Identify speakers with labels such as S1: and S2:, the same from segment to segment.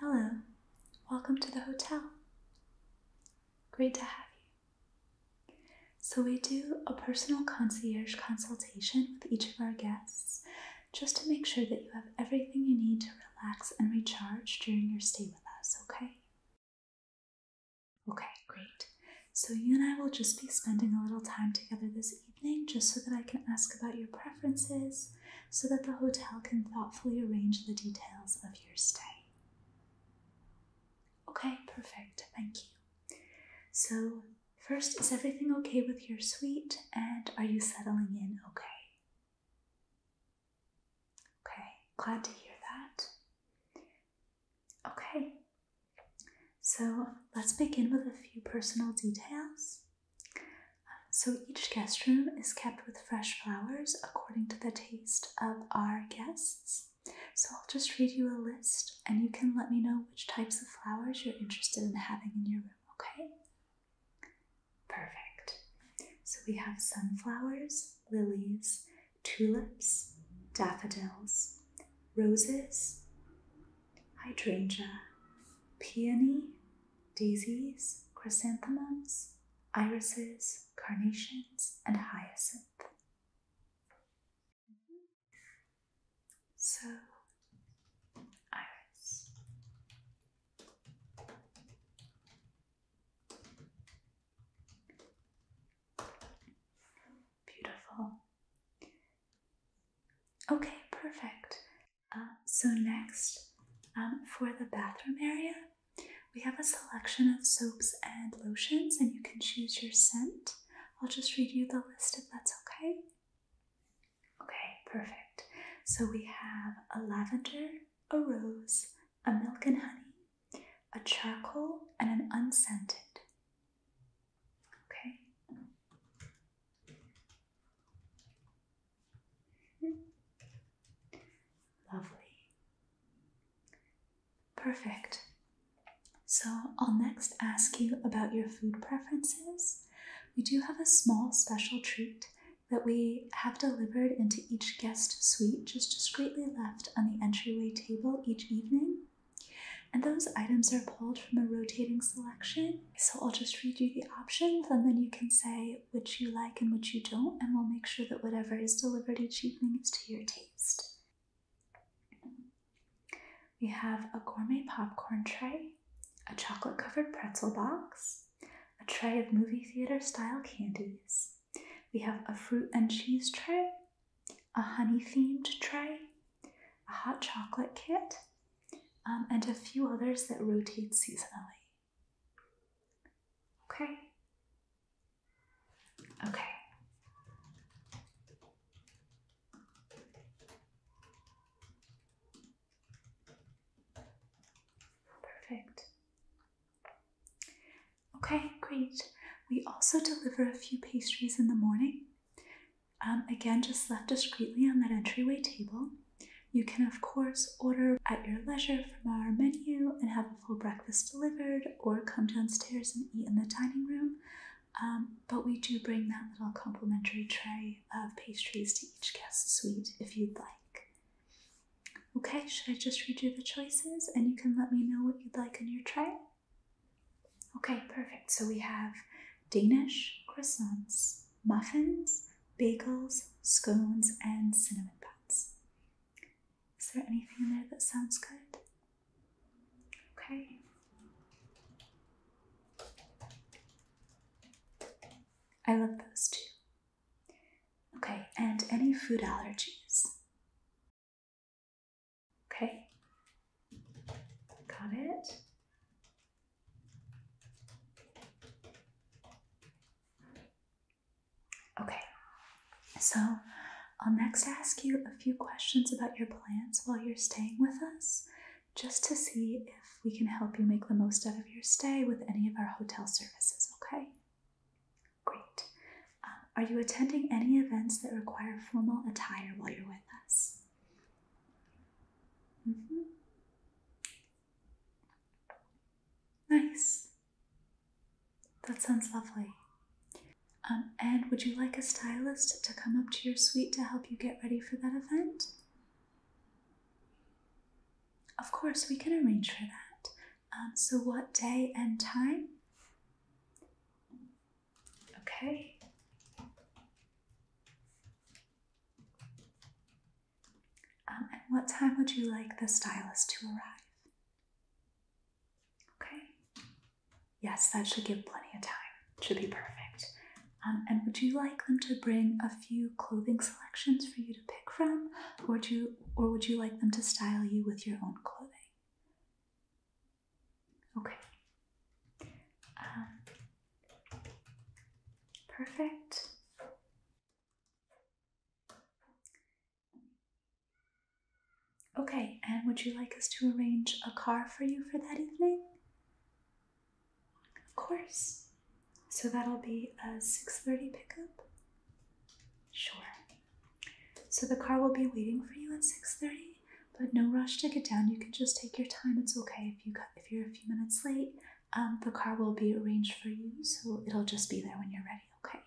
S1: Hello, welcome to the hotel. Great to have you. So, we do a personal concierge consultation with each of our guests just to make sure that you have everything you need to relax and recharge during your stay with us, okay? Okay, great. So, you and I will just be spending a little time together this evening just so that I can ask about your preferences, so that the hotel can thoughtfully arrange the details of your stay. Okay, perfect. Thank you. So, first, is everything okay with your suite and are you settling in okay? Okay, glad to hear that. Okay, so let's begin with a few personal details. So each guest room is kept with fresh flowers according to the taste of our guests. So I'll just read you a list and you can let me know which types of flowers you're interested in having in your room, okay? Perfect. So we have sunflowers, lilies, tulips, daffodils, roses, hydrangea, peony, daisies, chrysanthemums, irises, carnations, and hyacinth. So, iris. Beautiful. Okay, perfect. Uh, so next, um, for the bathroom area, we have a selection of soaps and lotions, and you can choose your scent. I'll just read you the list if that's okay. Okay, perfect. So we have a lavender, a rose, a milk and honey, a charcoal, and an unscented. Okay. Lovely. Perfect. So I'll next ask you about your food preferences. We do have a small special treat that we have delivered into each guest suite, just discreetly left on the entryway table each evening. And those items are pulled from a rotating selection. So I'll just read you the options and then you can say which you like and which you don't, and we'll make sure that whatever is delivered each evening is to your taste. We have a gourmet popcorn tray, a chocolate covered pretzel box, a tray of movie theater style candies. We have a fruit and cheese tray, a honey themed tray, a hot chocolate kit, um, and a few others that rotate seasonally. Okay. Okay. Perfect. Okay, great. We also deliver a few pastries in the morning. Um, again, just left discreetly on that entryway table. You can, of course, order at your leisure from our menu and have a full breakfast delivered, or come downstairs and eat in the dining room. Um, but we do bring that little complimentary tray of pastries to each guest suite if you'd like. Okay, should I just read you the choices and you can let me know what you'd like on your tray? Okay, perfect. So we have Danish croissants, muffins, bagels, scones, and cinnamon buns. Is there anything in there that sounds good? Okay. I love those too. Okay, and any food allergies? Okay. Got it. Okay, so I'll next ask you a few questions about your plans while you're staying with us, just to see if we can help you make the most out of your stay with any of our hotel services, okay? Great. Um, are you attending any events that require formal attire while you're with us? Mm-hmm. Nice. That sounds lovely. Um, and would you like a stylist to come up to your suite to help you get ready for that event? Of course, we can arrange for that. Um, so, what day and time? Okay. Um, and what time would you like the stylist to arrive? Okay. Yes, that should give plenty of time. Should be perfect. Um, and would you like them to bring a few clothing selections for you to pick from, or would you, or would you like them to style you with your own clothing? Okay. Um, perfect. Okay, and would you like us to arrange a car for you for that evening? Of course. So that'll be a 6:30 pickup. Sure. So the car will be waiting for you at 6:30, but no rush to get down. You can just take your time. It's okay if you if you're a few minutes late um, the car will be arranged for you, so it'll just be there when you're ready, okay?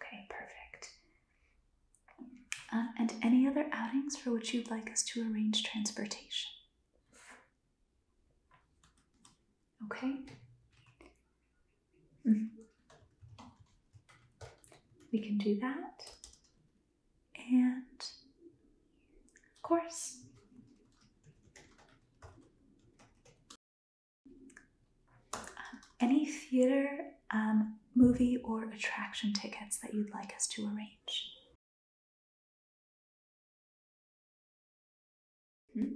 S1: Okay, perfect. Um, and any other outings for which you'd like us to arrange transportation? Okay. Mm-hmm. We can do that. And of course. any theater, um, movie, or attraction tickets that you'd like us to arrange? Hmm?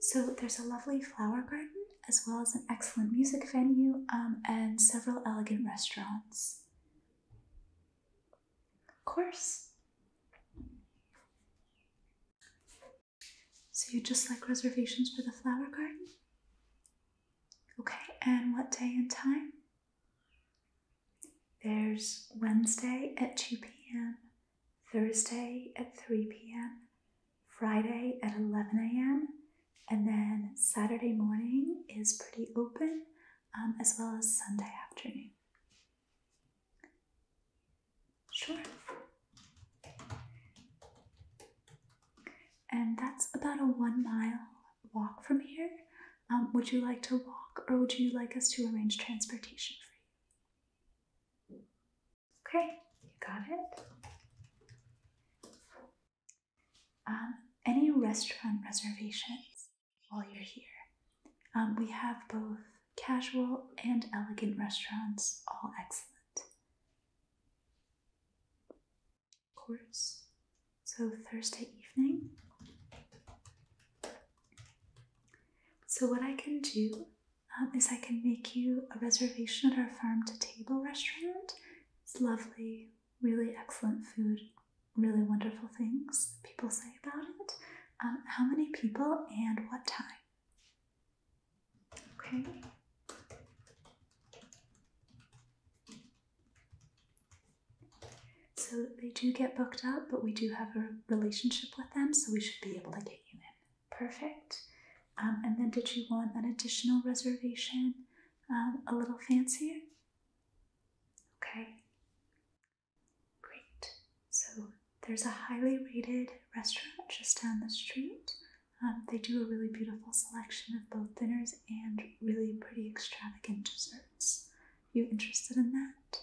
S1: So there's a lovely flower garden, as well as an excellent music venue um, and several elegant restaurants. Of course. So you just like reservations for the flower garden? Okay, and what day and time? There's Wednesday at 2 p.m., Thursday at 3 p.m., Friday at 11 a.m., and then Saturday morning is pretty open, um, as well as Sunday afternoon. Sure. And that's about a one mile walk from here. Um, would you like to walk or would you like us to arrange transportation for you? Okay, you got it. Um, any restaurant reservations? while you're here. Um, we have both casual and elegant restaurants, all excellent. Of course. So, Thursday evening. So, what I can do um, is I can make you a reservation at our farm to table restaurant. It's lovely, really excellent food, really wonderful things people say about it. Um, how many people and what time? Okay. So they do get booked up, but we do have a relationship with them, so we should be able to get you in. Perfect. Um, and then did you want an additional reservation um, a little fancier? Okay. Great. So there's a highly rated restaurant just down the street. Um, they do a really beautiful selection of both dinners and really pretty extravagant desserts. You interested in that?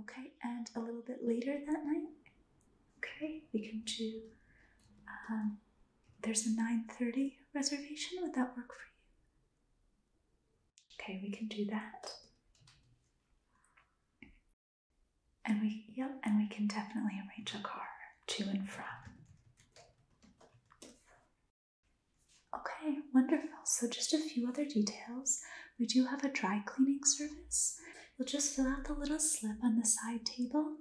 S1: Okay, and a little bit later that night, okay, we can do. Um, there's a 9:30 reservation. Would that work for you? Okay, we can do that. And we yep, and we can definitely arrange a car to and from. Okay, wonderful. So just a few other details. We do have a dry cleaning service. You'll just fill out the little slip on the side table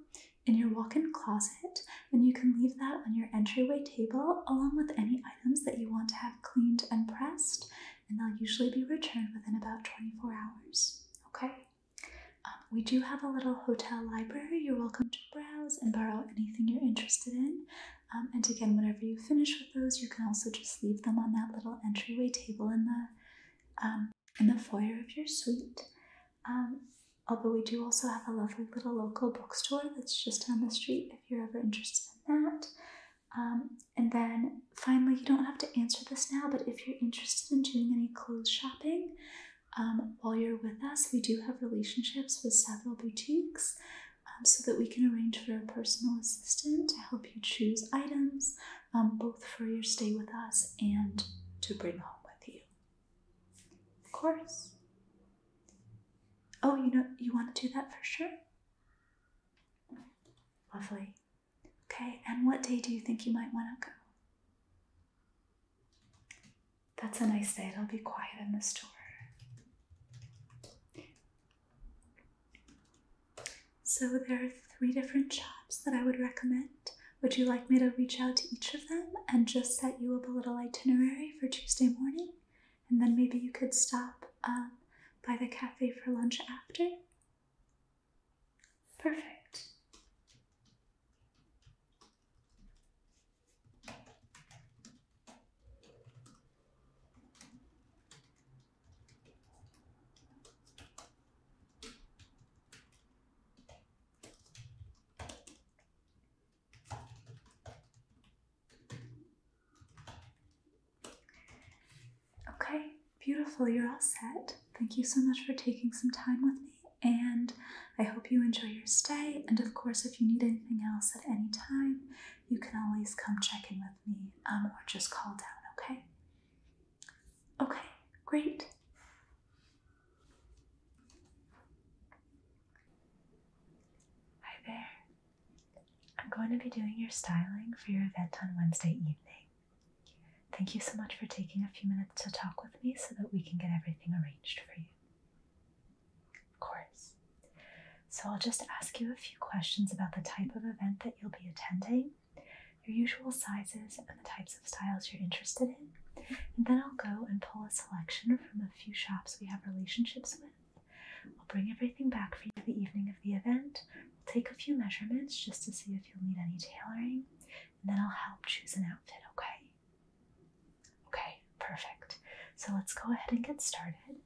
S1: in your walk-in closet and you can leave that on your entryway table along with any items that you want to have cleaned and pressed, and they'll usually be returned within about 24 hours. Okay? Um, we do have a little hotel library. You're welcome to browse and borrow anything you're interested in. Um, and again, whenever you finish with those, you can also just leave them on that little entryway table in the um, in the foyer of your suite. although we do also have a lovely little local bookstore that's just down the street if you're ever interested in that. Um, and then finally, you don't have to answer this now, but if you're interested in doing any clothes shopping um, while you're with us, we do have relationships with several boutiques um, so that we can arrange for a personal assistant to help you choose items, both for your stay with us and to bring home with you. Of course. Oh, you know, you want to do that for sure? Lovely. Okay, and what day do you think you might want to go? That's a nice day. It'll be quiet in the store. So there are three different shops that I would recommend. Would you like me to reach out to each of them and just set you up a little itinerary for Tuesday morning? and then maybe you could stop um, by the cafe for lunch after. Perfect. Okay, beautiful. You're all set. Thank you so much for taking some time with me, and I hope you enjoy your stay. And of course, if you need anything else at any time, you can always come check in with me um, or just call down, okay? Okay, great. Hi there. I'm going to be doing your styling for your event on Wednesday evening. Thank you so much for taking a few minutes to talk with me so that we can get everything arranged for you. Of course. So I'll just ask you a few questions about the type of event that you'll be attending, your usual sizes, and the types of styles you're interested in. And then I'll go and pull a selection from a few shops we have relationships with I'll bring everything back for you the evening of the event. We'll take a few measurements just to see if you'll need any tailoring, and then I'll help choose an outfit, okay? Okay, perfect. So let's go ahead and get started.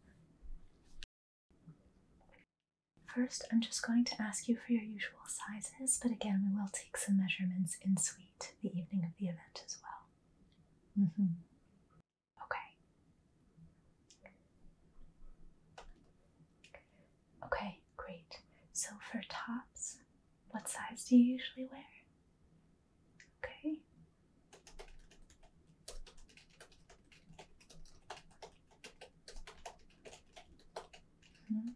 S1: First, I'm just going to ask you for your usual sizes, but again, we will take some measurements in suite the evening of the event as well. Mm-hmm. Okay. Okay, great. So for tops, what size do you usually wear? Okay. Mm-hmm.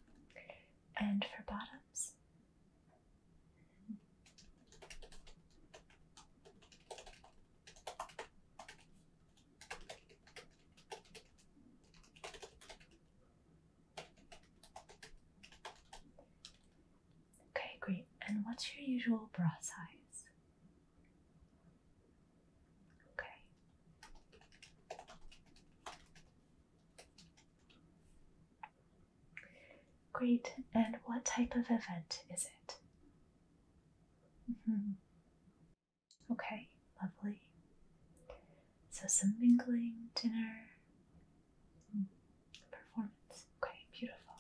S1: And for bottoms? Okay, great. And what's your usual bra size? Okay. Great. And what type of event is it? Mm -hmm. Okay, lovely. So, some mingling, dinner, performance. Okay, beautiful.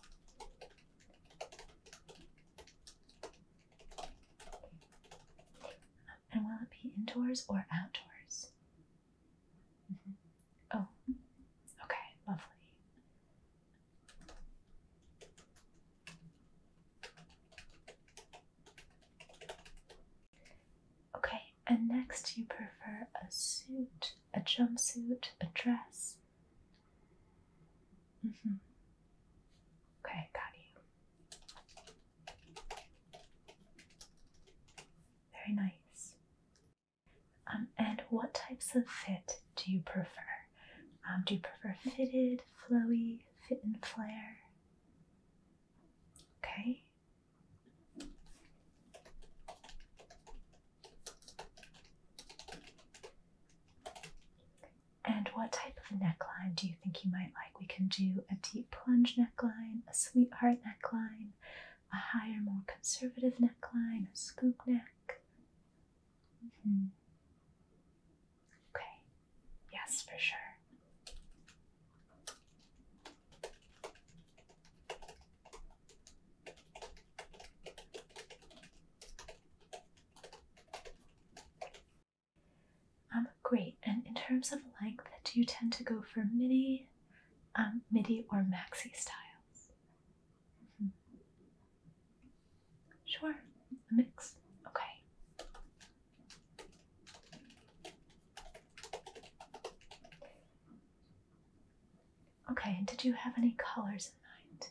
S1: And will it be indoors or outdoors? Mm-hmm. Oh, okay, lovely. Okay, and next you prefer a suit, a jumpsuit, a dress. Mm -hmm. Okay, got you. Very nice. Um, and what types of fit do you prefer? Um, do you prefer fitted, flowy, fit and flare? Okay. And what type of neckline do you think you might like? We can do a deep plunge neckline, a sweetheart neckline, a higher, more conservative neckline, a scoop neck. Okay, yes, for sure. I'm um, great. And in terms of length, do you tend to go for midi, um, midi, or maxi styles? Sure, a mix. Okay. Okay, and did you have any colors in mind?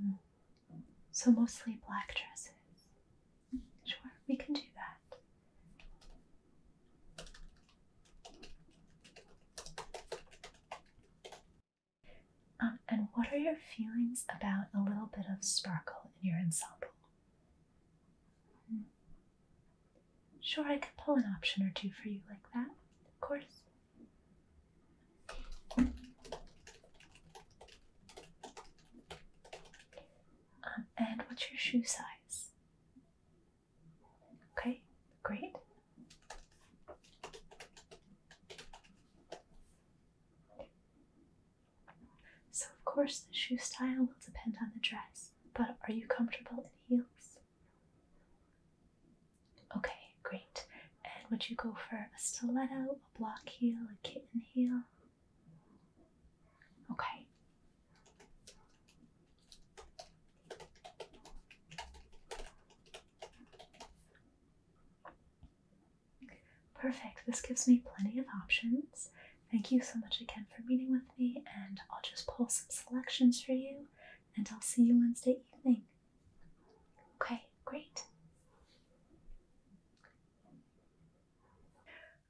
S1: Hmm. So mostly black dresses. Sure, we can do that. Um, and what are your feelings about a little bit of sparkle in your ensemble? Sure, I could pull an option or two for you like that, of course. Um, and what's your shoe size? Okay, great. So, of course, the shoe style will depend on the dress, but are you comfortable in heels? Okay, great. And would you go for a stiletto, a block heel, a kitten heel? Okay. Perfect. This gives me plenty of options. Thank you so much again for meeting with me, and I'll just pull some selections for you, and I'll see you Wednesday evening. Okay, great.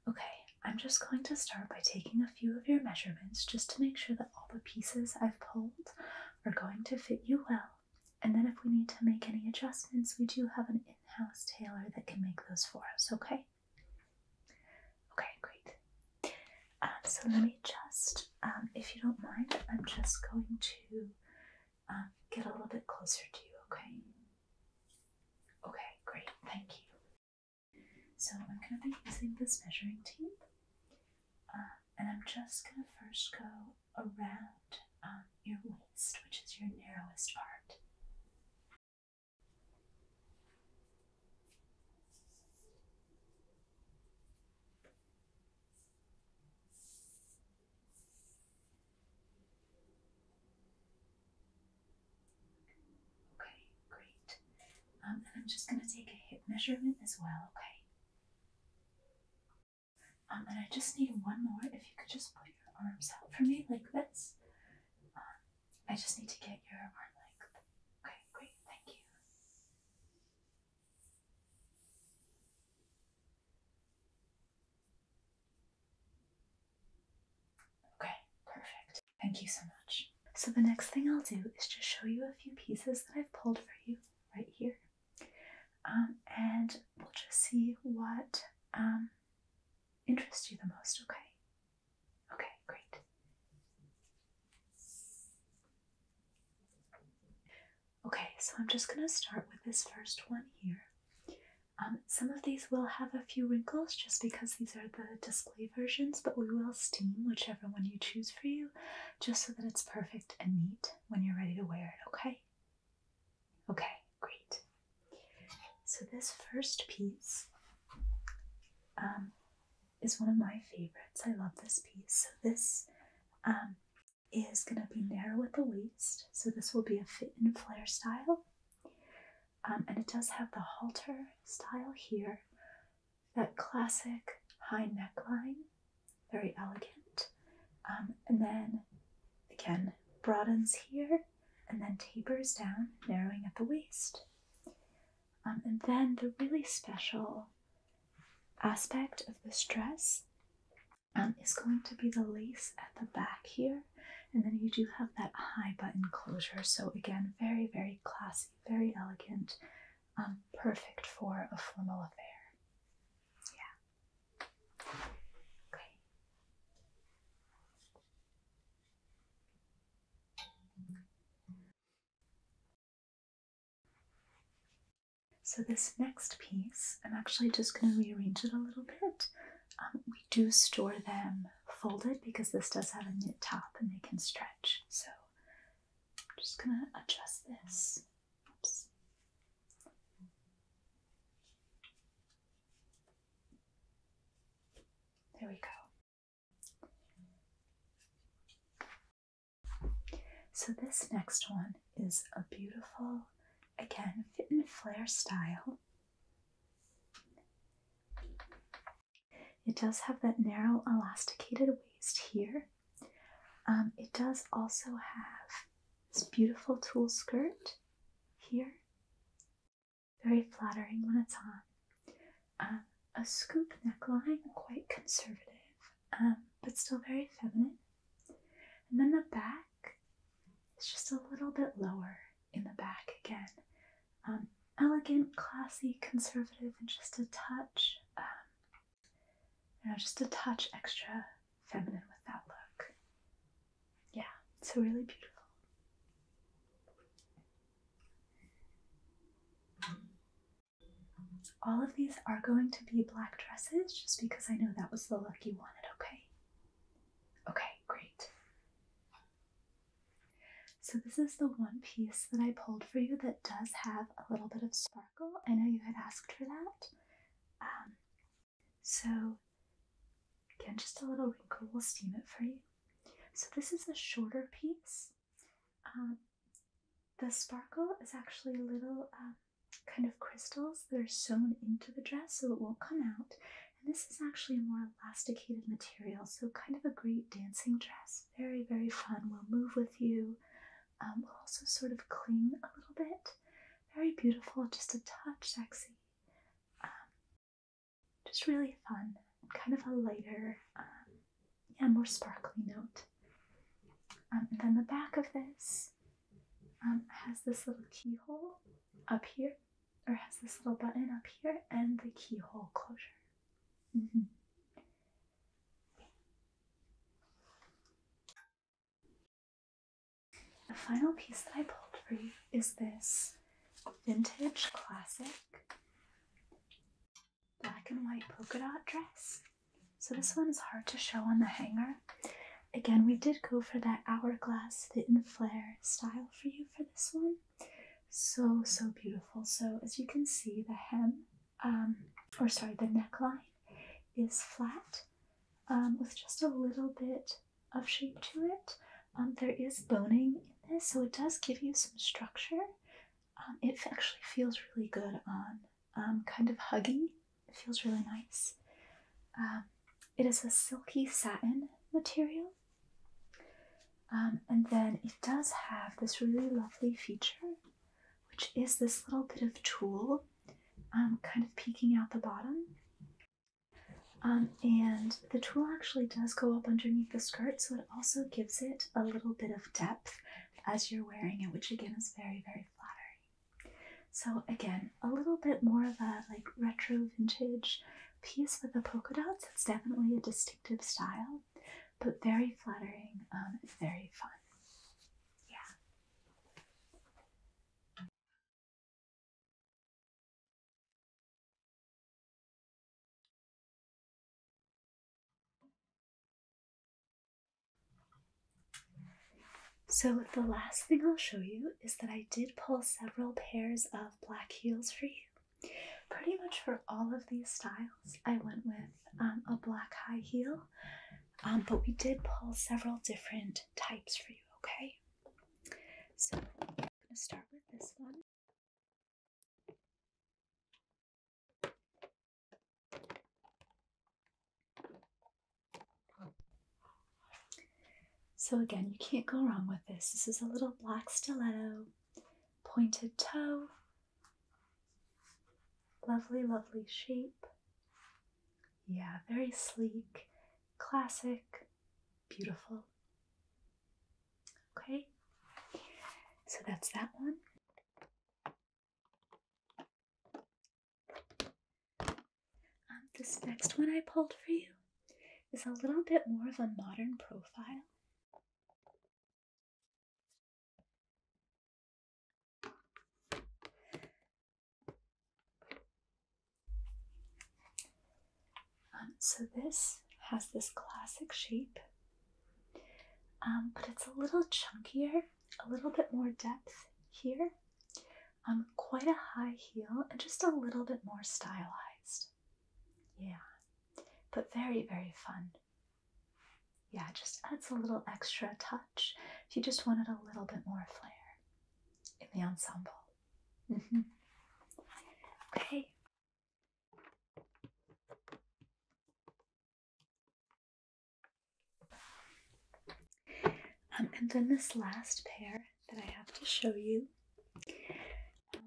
S1: Okay, I'm just going to start by taking a few of your measurements just to make sure that all the pieces I've pulled are going to fit you well. And then if we need to make any adjustments, we do have an in-house tailor that can make those for us, okay? Okay, great. Um, so let me just, um, if you don't mind, I'm just going to um, get a little bit closer to you, okay? Okay, great, thank you. So I'm going to be using this measuring tape and I'm just going to first go around um, your waist, which is your narrowest part. Okay, great. Um, and I'm just going to take a hip measurement as well, okay? Um, and I just need one more. If you could just put your arms out for me like this. Um, I just need to get your arm length. Okay, great. Thank you. Okay, perfect. Thank you so much. So the next thing I'll do is just show you a few pieces that I've pulled for you right here. Um, and we'll just see what um, interests you the most, okay? Okay, great. Okay, so I'm just going to start with this first one here. Um, some of these will have a few wrinkles just because these are the display versions, but we will steam whichever one you choose for you just so that it's perfect and neat when you're ready to wear it, okay? Okay, great. So, this first piece um, is one of my favorites. I love this piece. So, this um, is going to be narrow at the waist. So, this will be a fit and flare style. Um, and it does have the halter style here that classic high neckline, very elegant. Um, and then again, broadens here and then tapers down, narrowing at the waist. Um, and then the really special aspect of this dress um, is going to be the lace at the back here. And then you do have that high button closure. So again, very, very classy, very elegant perfect for a formal affair. Yeah. Okay. So, this next piece, I'm actually just going to rearrange it a little bit. Um, we do store them folded because this does have a knit top and they can stretch. So, I'm just going to adjust this. There we go. So, this next one is a beautiful, again, fit and flare style. It does have that narrow, elasticated waist here, um, it does also have this beautiful tulle skirt here, very flattering when it's on. Um, a scoop neckline, quite conservative, um, but still very feminine. And then the back is just a little bit lower in the back again. elegant, classy, conservative, and just a touch you know, just a touch extra feminine with that look. Yeah, it's really beautiful. All of these are going to be black dresses just because I know that was the look you wanted, okay? Okay, great. So this is the one piece that I pulled for you that does have a little bit of sparkle I know you had asked for that. Um, so, again, just a little wrinkle, we'll steam it for you. So, this is a shorter piece. Um, the sparkle is actually little um, kind of crystals that are sewn into the dress so it won't come out. And this is actually a more elasticated material, so kind of a great dancing dress. Very, very fun, will move with you. Um, will also sort of cling a little bit. Very beautiful, just a touch sexy. Um, just really fun, kind of a lighter, um, yeah, more sparkly note. Um, and then the back of this has this little keyhole up here, or has this little button up here, and the keyhole closure. Mm-hmm. The final piece that I pulled for you is this vintage classic black and white polka dot dress. So this one is hard to show on the hanger. Again, we did go for that hourglass fit and flare style for you for this one. So, so beautiful. So as you can see, the hem um, or sorry, the neckline is flat um, with just a little bit of shape to it. Um, there is boning in this, so it does give you some structure. Um, it actually feels really good on, um, kind of huggy. It feels really nice. Um, it is a silky satin material. Um, and then it does have this really lovely feature which is this little bit of tulle um, kind of peeking out the bottom. Um, and the tulle actually does go up underneath the skirt, so it also gives it a little bit of depth as you're wearing it, which again is very, very flattering. So again, a little bit more of a like retro vintage piece with the polka dots. It's definitely a distinctive style but very flattering um, very fun. Yeah. So the last thing I'll show you is that I did pull several pairs of black heels for you. Pretty much for all of these styles, I went with um, a black high heel. Um, but we did pull several different types for you, okay? So I'm going to start with this one. So again, you can't go wrong with this. This is a little black stiletto, pointed toe, Lovely, lovely shape. Yeah, very sleek, classic, beautiful. Okay, so that's that one. Um, this next one I pulled for you is a little bit more of a modern profile. Um, so this has this classic shape, um, but it's a little chunkier, a little bit more depth here, um, quite a high heel, and just a little bit more stylized. Yeah, but very, very fun. Yeah, just adds a little extra touch if you just wanted a little bit more flair in the ensemble. Mm-hmm. Okay. Um, and then this last pair that I have to show you. Um,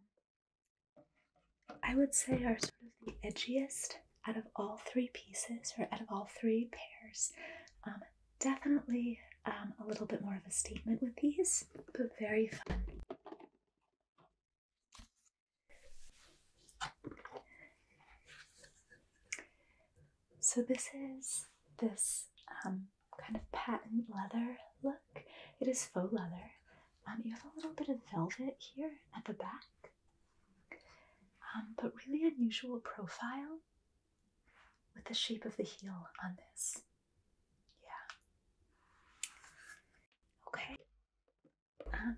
S1: I would say are sort of the edgiest out of all three pieces or out of all three pairs. Um, definitely um, a little bit more of a statement with these, but very fun. So this is this um, kind of patent leather look. It is faux leather. you have a little bit of velvet here at the back, um, but really unusual profile with the shape of the heel on this. Yeah. Okay. Um,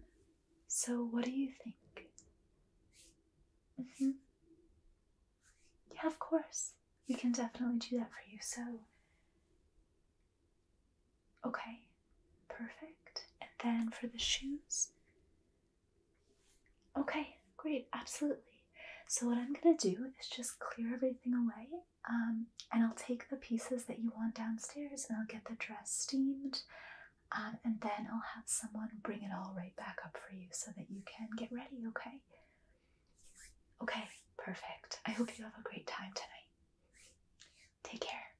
S1: so, what do you think? Mm-hmm. Yeah, of course. We can definitely do that for you. So, Okay, perfect. And then for the shoes. Okay, great, absolutely. So, what I'm gonna do is just clear everything away, um, and I'll take the pieces that you want downstairs and I'll get the dress steamed, um, and then I'll have someone bring it all right back up for you so that you can get ready, okay? Okay, perfect. I hope you have a great time tonight. Take care.